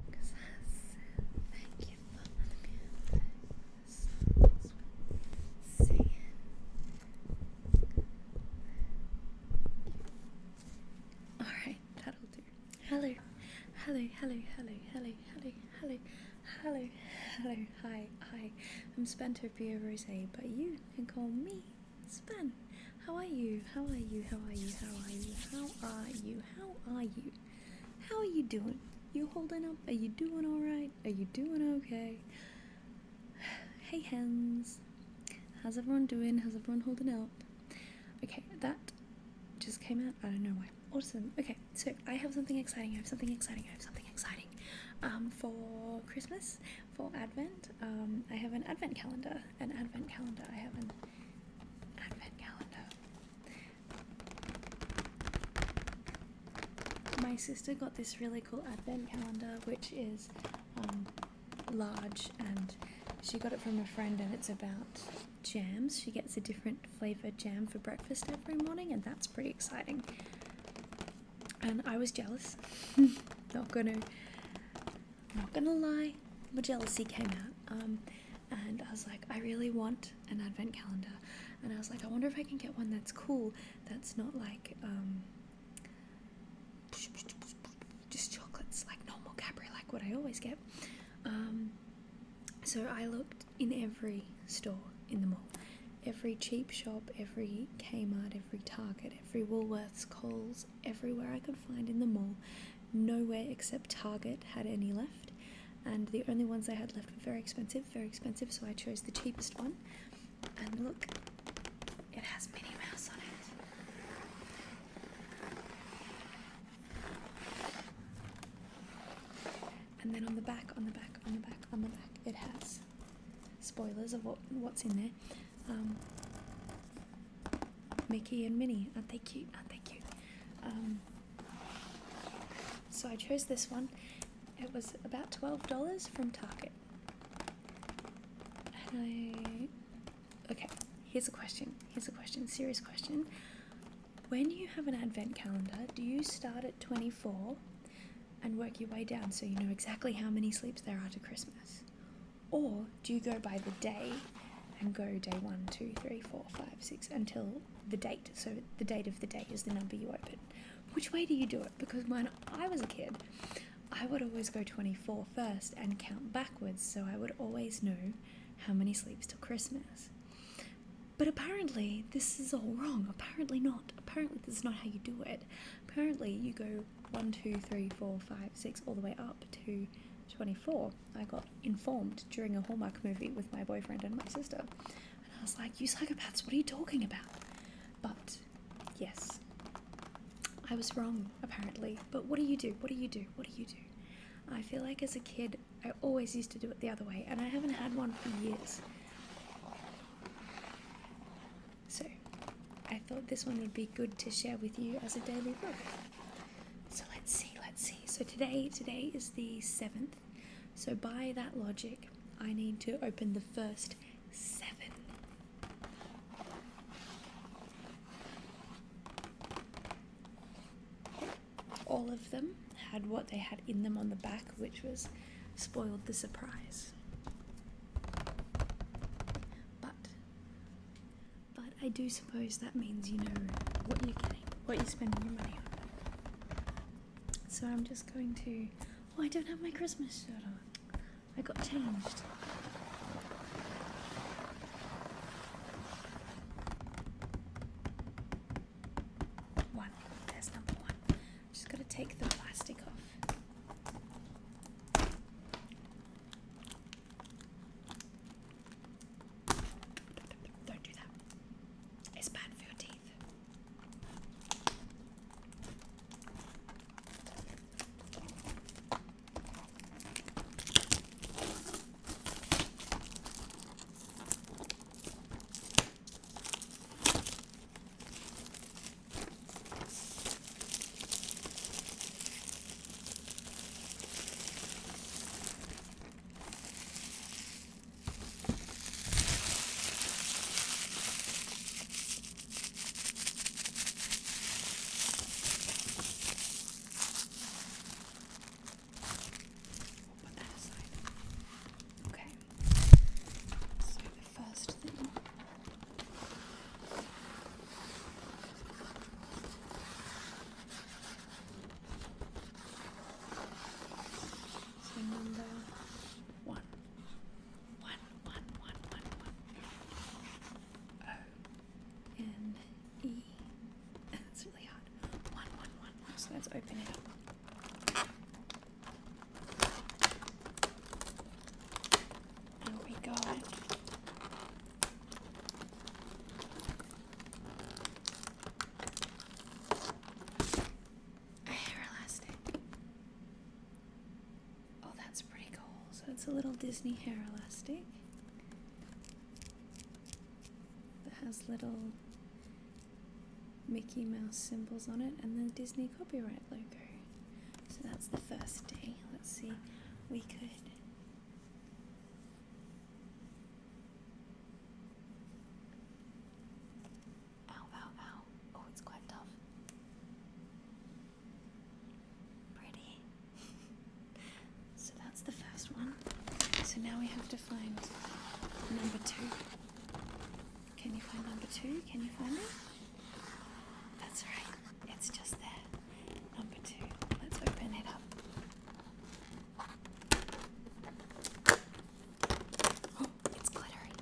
Thank you for the music. Alright, that'll do. Hello, hello, hello, hello, hello, hello, hello, hello, hello, hi, hi. I'm Spento Pia Rose, but you can call me Span. How are you? How are you? How are you? How are you? How are you? How are you? How are you doing? You holding up? Are you doing alright? Are you doing okay? Hey hens. How's everyone doing? How's everyone holding up? Okay, that just came out. I don't know why. Awesome. Okay, so I have something exciting. I have something exciting. I have something exciting. Um, for Christmas, for Advent, um, I have an Advent calendar. An Advent calendar. I have an Advent calendar. My sister got this really cool advent calendar, which is um, large, and she got it from a friend, and it's about jams. She gets a different flavor jam for breakfast every morning, and that's pretty exciting. And I was jealous. not gonna, not gonna lie, my jealousy came out. Um, and I was like, I really want an advent calendar, and I was like, I wonder if I can get one that's cool, that's not like um, just chocolates, like normal Cadbury, like what I always get. Um, so I looked in every store in the mall, every cheap shop, every Kmart, every Target, every Woolworths, Coles, everywhere I could find in the mall. Nowhere except Target had any left, and the only ones they had left were very expensive, very expensive, so I chose the cheapest one. And look, it has Minnie Mouse on it. And then on the back, on the back, on the back, on the back, it has spoilers of what's in there. Um, Mickey and Minnie. Aren't they cute? Aren't they cute? Um, so I chose this one. It was about $12 from Target. And I. Okay, here's a question. Here's a question, serious question. When you have an advent calendar, do you start at 24 and work your way down so you know exactly how many sleeps there are to Christmas? Or do you go by the day and go day one, two, three, four, five, six until the date? So the date of the day is the number you open. Which way do you do it? Because when I was a kid, I would always go 24 first and count backwards, so I would always know how many sleeps till Christmas. But apparently, this is all wrong. Apparently, not. Apparently, this is not how you do it. Apparently, you go 1, 2, 3, 4, 5, 6, all the way up to 24, I got informed during a Hallmark movie with my boyfriend and my sister. And I was like, You psychopaths, what are you talking about? But yes, I was wrong, apparently. But what do you do? What do you do? What do you do? I feel like as a kid, I always used to do it the other way, and I haven't had one for years. So, I thought this one would be good to share with you as a daily book. So let's see, let's see. So today, today is the 7th. So by that logic, I need to open the first 7. All of them had what they had in them on the back, which was spoiled the surprise. But but I do suppose that means you know what you're getting, what you're spending your money on. So I'm just going to. Oh, I don't have my Christmas shirt on. I got changed. One. There's number one. Just gotta take the plastic off. Don't do that. It's bad for your teeth. We'll put that aside. Okay. So the first thing so number one. One, one, one, one, one. O N E. That's really hard. One, one, one, one. So let's open it up we got a hair elastic. Oh, that's pretty cool. So it's a little Disney hair elastic that has little Mickey Mouse symbols on it and the Disney copyright logo. So that's the first day. Let's see, we could. Ow, ow, ow. Oh, it's quite tough. Pretty. so that's the first one. So now we have to find number two. Can you find number two? Can you find it? That's right. It's just there. Number two. Let's open it up. Oh, it's glittery.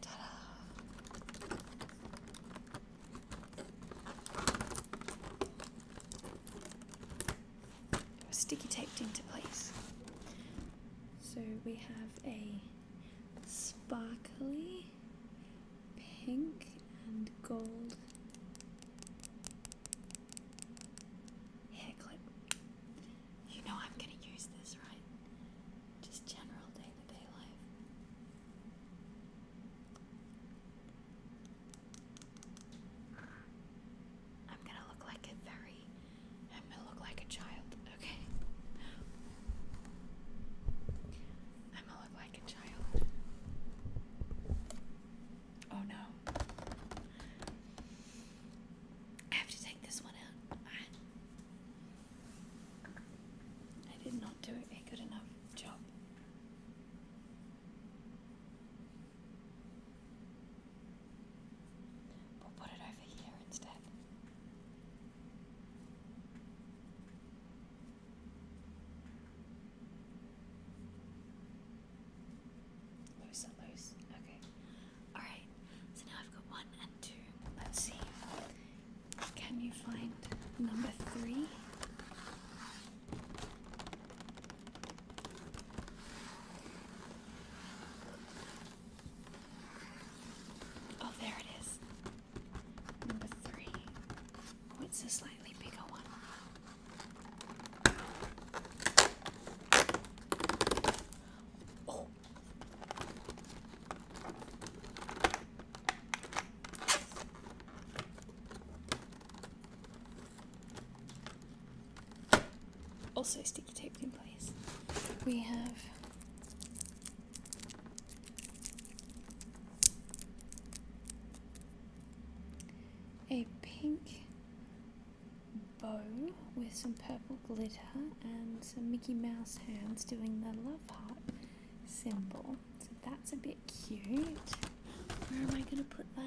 Ta da! sticky taped into place. So we have a sparkly pink and gold hair clip. You know I'm going to use this, right? Just general day to day life. I'm gonna look like a very. I'm gonna look like a child. Okay. I'm gonna look like a child. Oh no. I have to take this one out. I, did not do a good enough job. We'll put it over here instead. Loose loose. Okay. Alright. So now I've got one and two. Let's see. Can you find number three? Oh, there it is. Number three. Oh, it's a slightly bigger one. Oh. Also sticky taped in place. We have a pink bow with some purple glitter and some Mickey Mouse hands doing the love heart symbol. So that's a bit cute. Where am I going to put that?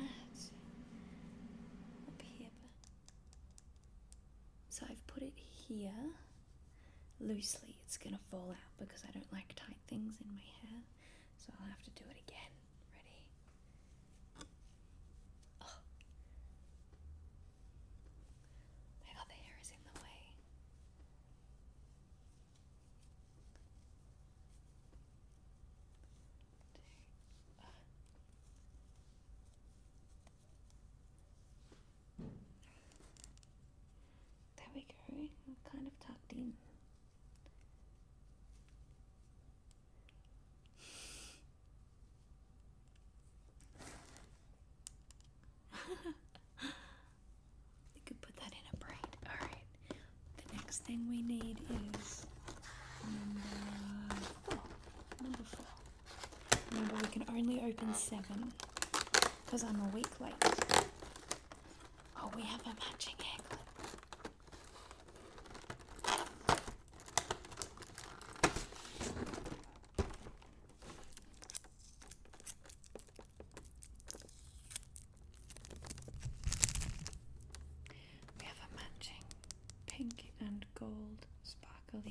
Up here. So I've put it here loosely, it's gonna fall out because I don't like tight things in my hair. So I'll have to do it again. Ready? Oh. My other hair is in the way. Two. Uh. Ah. There we go, kind of tucked in. you could put that in a braid. Alright, the next thing we need is number Number four. Remember, we can only open seven because I'm a week late. Oh, we have a matching hair We have a matching pink and gold sparkle which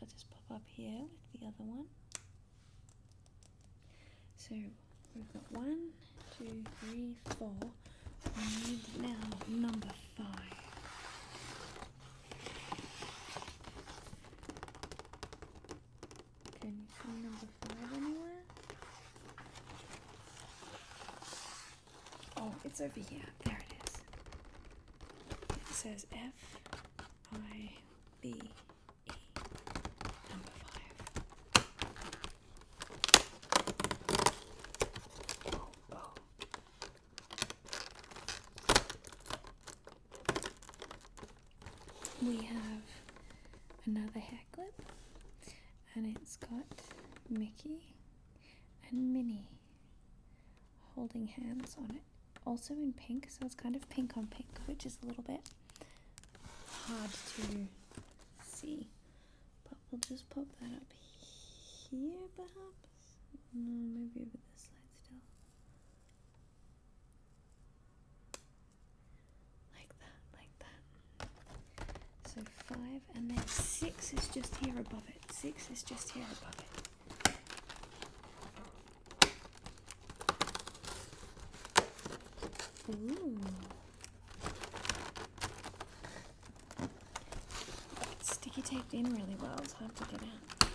I'll just pop up here with the other one. So we've got one, two, three, four. We need now number five. Can you see number five anywhere? Oh, it's over here. There it is. It says F I B E number five. Oh, whoa. We have another hair clip and it's got Mickey and Minnie holding hands on it. Also in pink, so it's kind of pink on pink, which is a little bit hard to see. But we'll just pop that up here, perhaps. No, maybe over this side still like that, like that. So five, and then six is just here above it. Six is just here above it. sticky taped in really well, it's hard to get out.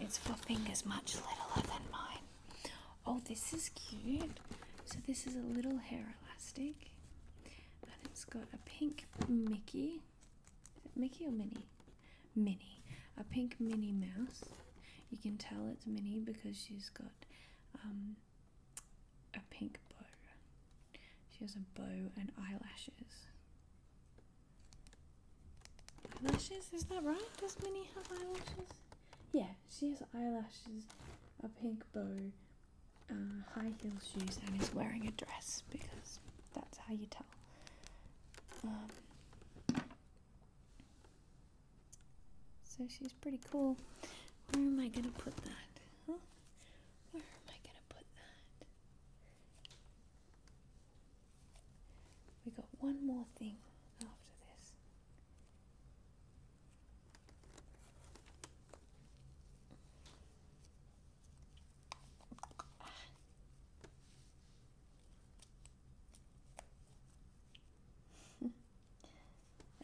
Its flopping fingers much littler than mine. Oh, this is cute. So this is a little hair elastic. And it's got a pink Mickey. Mickey or Minnie? Minnie. A pink Minnie mouse. You can tell it's Minnie because she's got um, a pink bow. She has a bow and eyelashes. Eyelashes? Is that right? Does Minnie have eyelashes? Yeah, she has eyelashes, a pink bow, uh, high heel shoes, and is wearing a dress because that's how you tell. Um, so she's pretty cool. Where am I gonna put that? Where am I gonna put that? We got one more thing after this.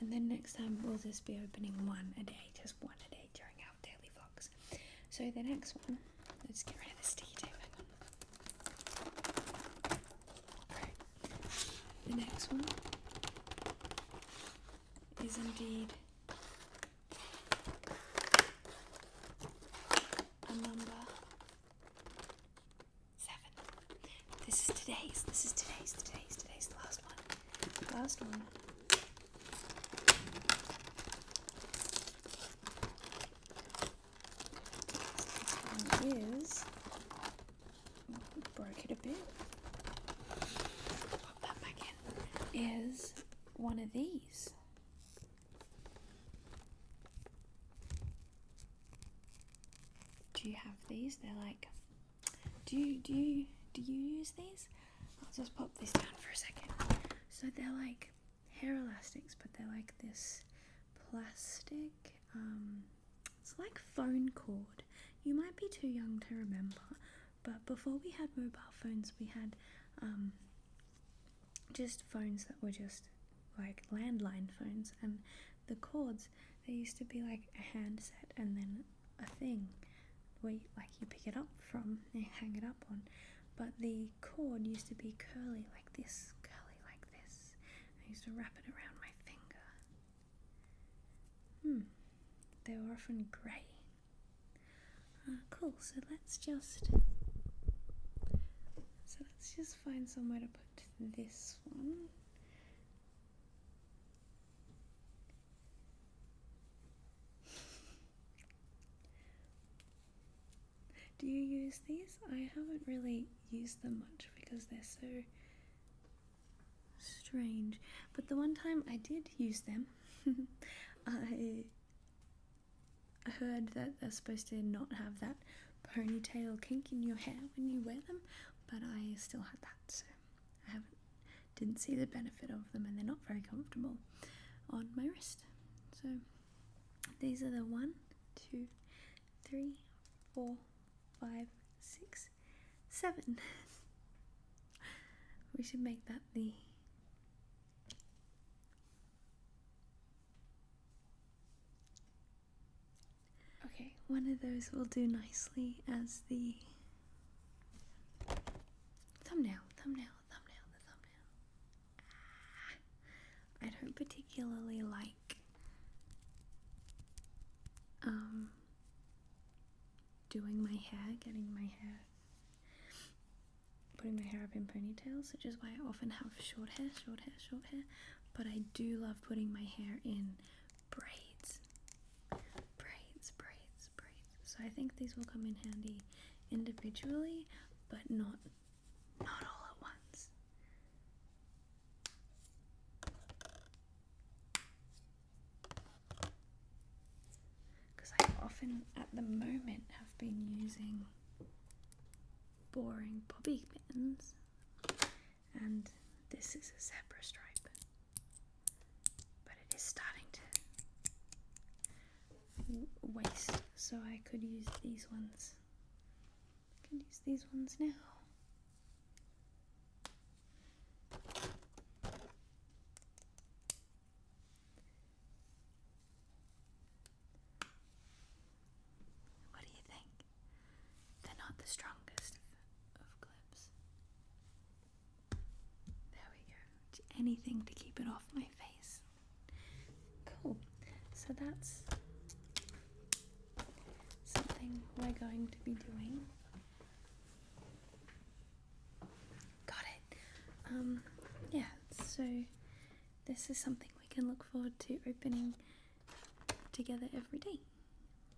And then next time we'll just be opening one a day, just one a day during our daily vlogs. So the next one, let's get rid of the sticky tape. the next one is indeed a number seven. This is today's. This is today's. Today's. Today's the last one. last one. This one is. Oh, it a bit. Pop that back in. Is one of these do you have these? They're like, do you, do you, do you use these? I'll just pop this down for a second. So they're like hair elastics, but they're like this plastic, um, it's like phone cord. You might be too young to remember, but before we had mobile phones, we had um, just phones that were just like landline phones, and the cords, they used to be like a handset and then a thing where like you pick it up from and hang it up on. But the cord used to be curly like this, curly like this. I used to wrap it around my finger. Hmm, they were often grey. Ah, cool, so let's just so let's just find somewhere to put this one. Do you use these? I haven't really used them much because they're so strange. But the one time I did use them, I heard that they're supposed to not have that ponytail kink in your hair when you wear them, but I still had that, so I haven't didn't see the benefit of them, and they're not very comfortable on my wrist. So these are the one, two, three, four, five, six, seven. we should make that the Okay, one of those will do nicely as the thumbnail, thumbnail, thumbnail, the thumbnail. Ah, I don't particularly like um doing my hair, getting my hair putting my hair up in ponytails, which is why I often have short hair, short hair, short hair but I do love putting my hair in braids. Braids, braids, braids. So I think these will come in handy individually, but not not all at once. Because I often, at the moment, have been using boring bobby pins and this is a zebra stripe. But it is starting to waste, so I could use these ones. I can use these ones now. What do you think? They're not the strongest of, clips. There we go. Anything to keep it off my face. Cool. So that's something we're going to be doing. Got it. Um, yeah, so this is something we can look forward to opening together every day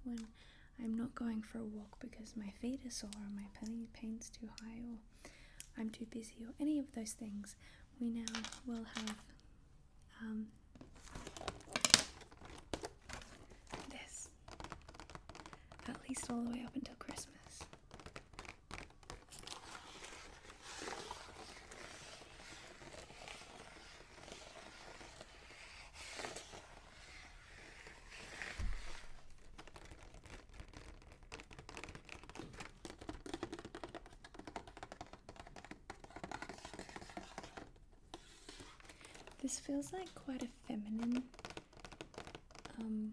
when I'm not going for a walk because my feet are sore or my pain's too high or I'm too busy or any of those things. We now will have um, this at least all the way up until Christmas. This feels like quite a feminine um,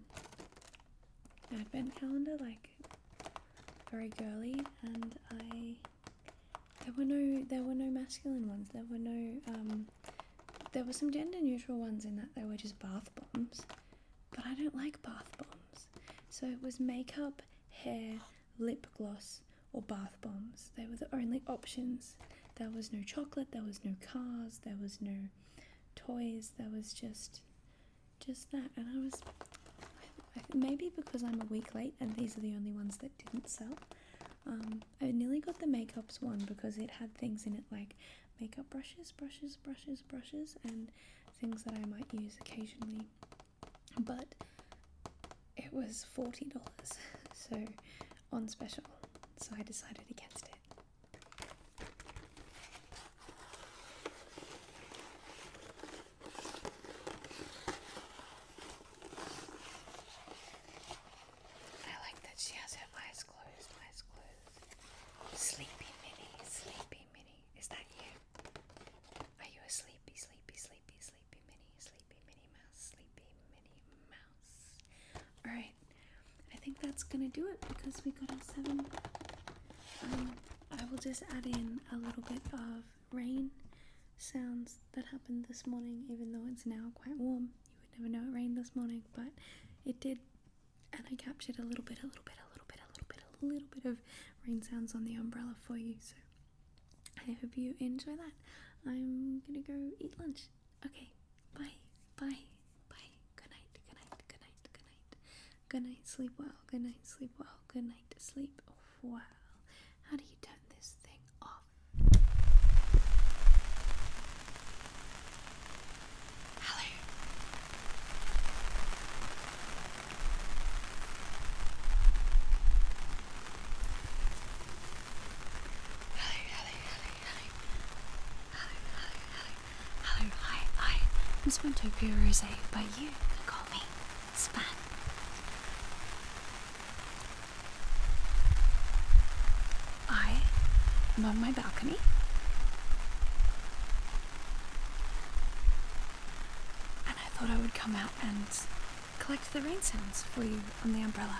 advent calendar, like very girly, and I there were no there were no masculine ones. There were no um, there were some gender neutral ones in that they were just bath bombs, but I don't like bath bombs. So it was makeup, hair, lip gloss, or bath bombs. They were the only options. There was no chocolate. There was no cars. There was no toys. There was just just that. And I was maybe because I'm a week late and these are the only ones that didn't sell. Um, I nearly got the makeups one because it had things in it like makeup brushes, brushes, brushes, brushes, and things that I might use occasionally. But it was $40, so on special, so I decided against it. I like that she has her eyes closed, eyes closed. Sleepy Minnie, sleepy Minnie. Is that you? Are you a sleepy, sleepy, sleepy, sleepy Minnie, sleepy Minnie Mouse, sleepy Minnie Mouse? Alright, I think that's gonna do it because we got our seven. Um, I will just add in a little bit of rain sounds that happened this morning, even though it's now quite warm. You would never know it rained this morning, but it did, and I captured a little bit, a little bit, a little bit, a little bit, a little bit of rain sounds on the umbrella for you. So I hope you enjoy that. I'm gonna go eat lunch. Okay, bye, bye, bye. Good night, good night, good night, good night. Good night, sleep well. Good night, sleep well. Good night to sleep oh, well. How do you turn this thing off? Hello. Hello, hello, hello, hello. Hello, Hello, hi, I am Spontopia Rose, but you can call me Span. I am on my balcony. And I thought I would come out and collect the rain sounds for you on the umbrella.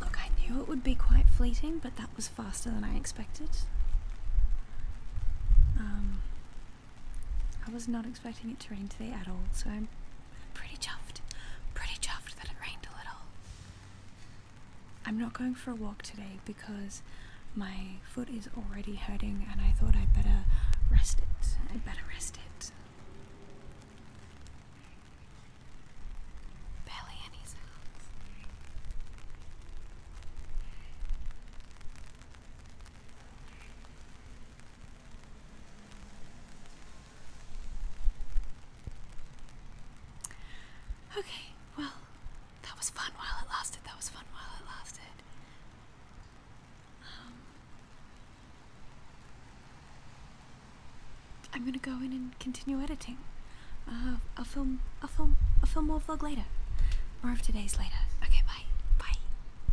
Look, I knew it would be quite fleeting, but that was faster than I expected. Um, I was not expecting it to rain today at all, so I'm pretty chuffed. Pretty chuffed that it rained a little. I'm not going for a walk today because my foot is already hurting and I thought I'd better rest it. I'd better rest it. Barely any sounds. Okay, well, that was fun while it lasted. That was fun while it lasted. Um, I'm gonna go in and continue editing. Uh, I'll film. I'll film. I'll film more vlog later, more of today's later. Okay, bye. Bye.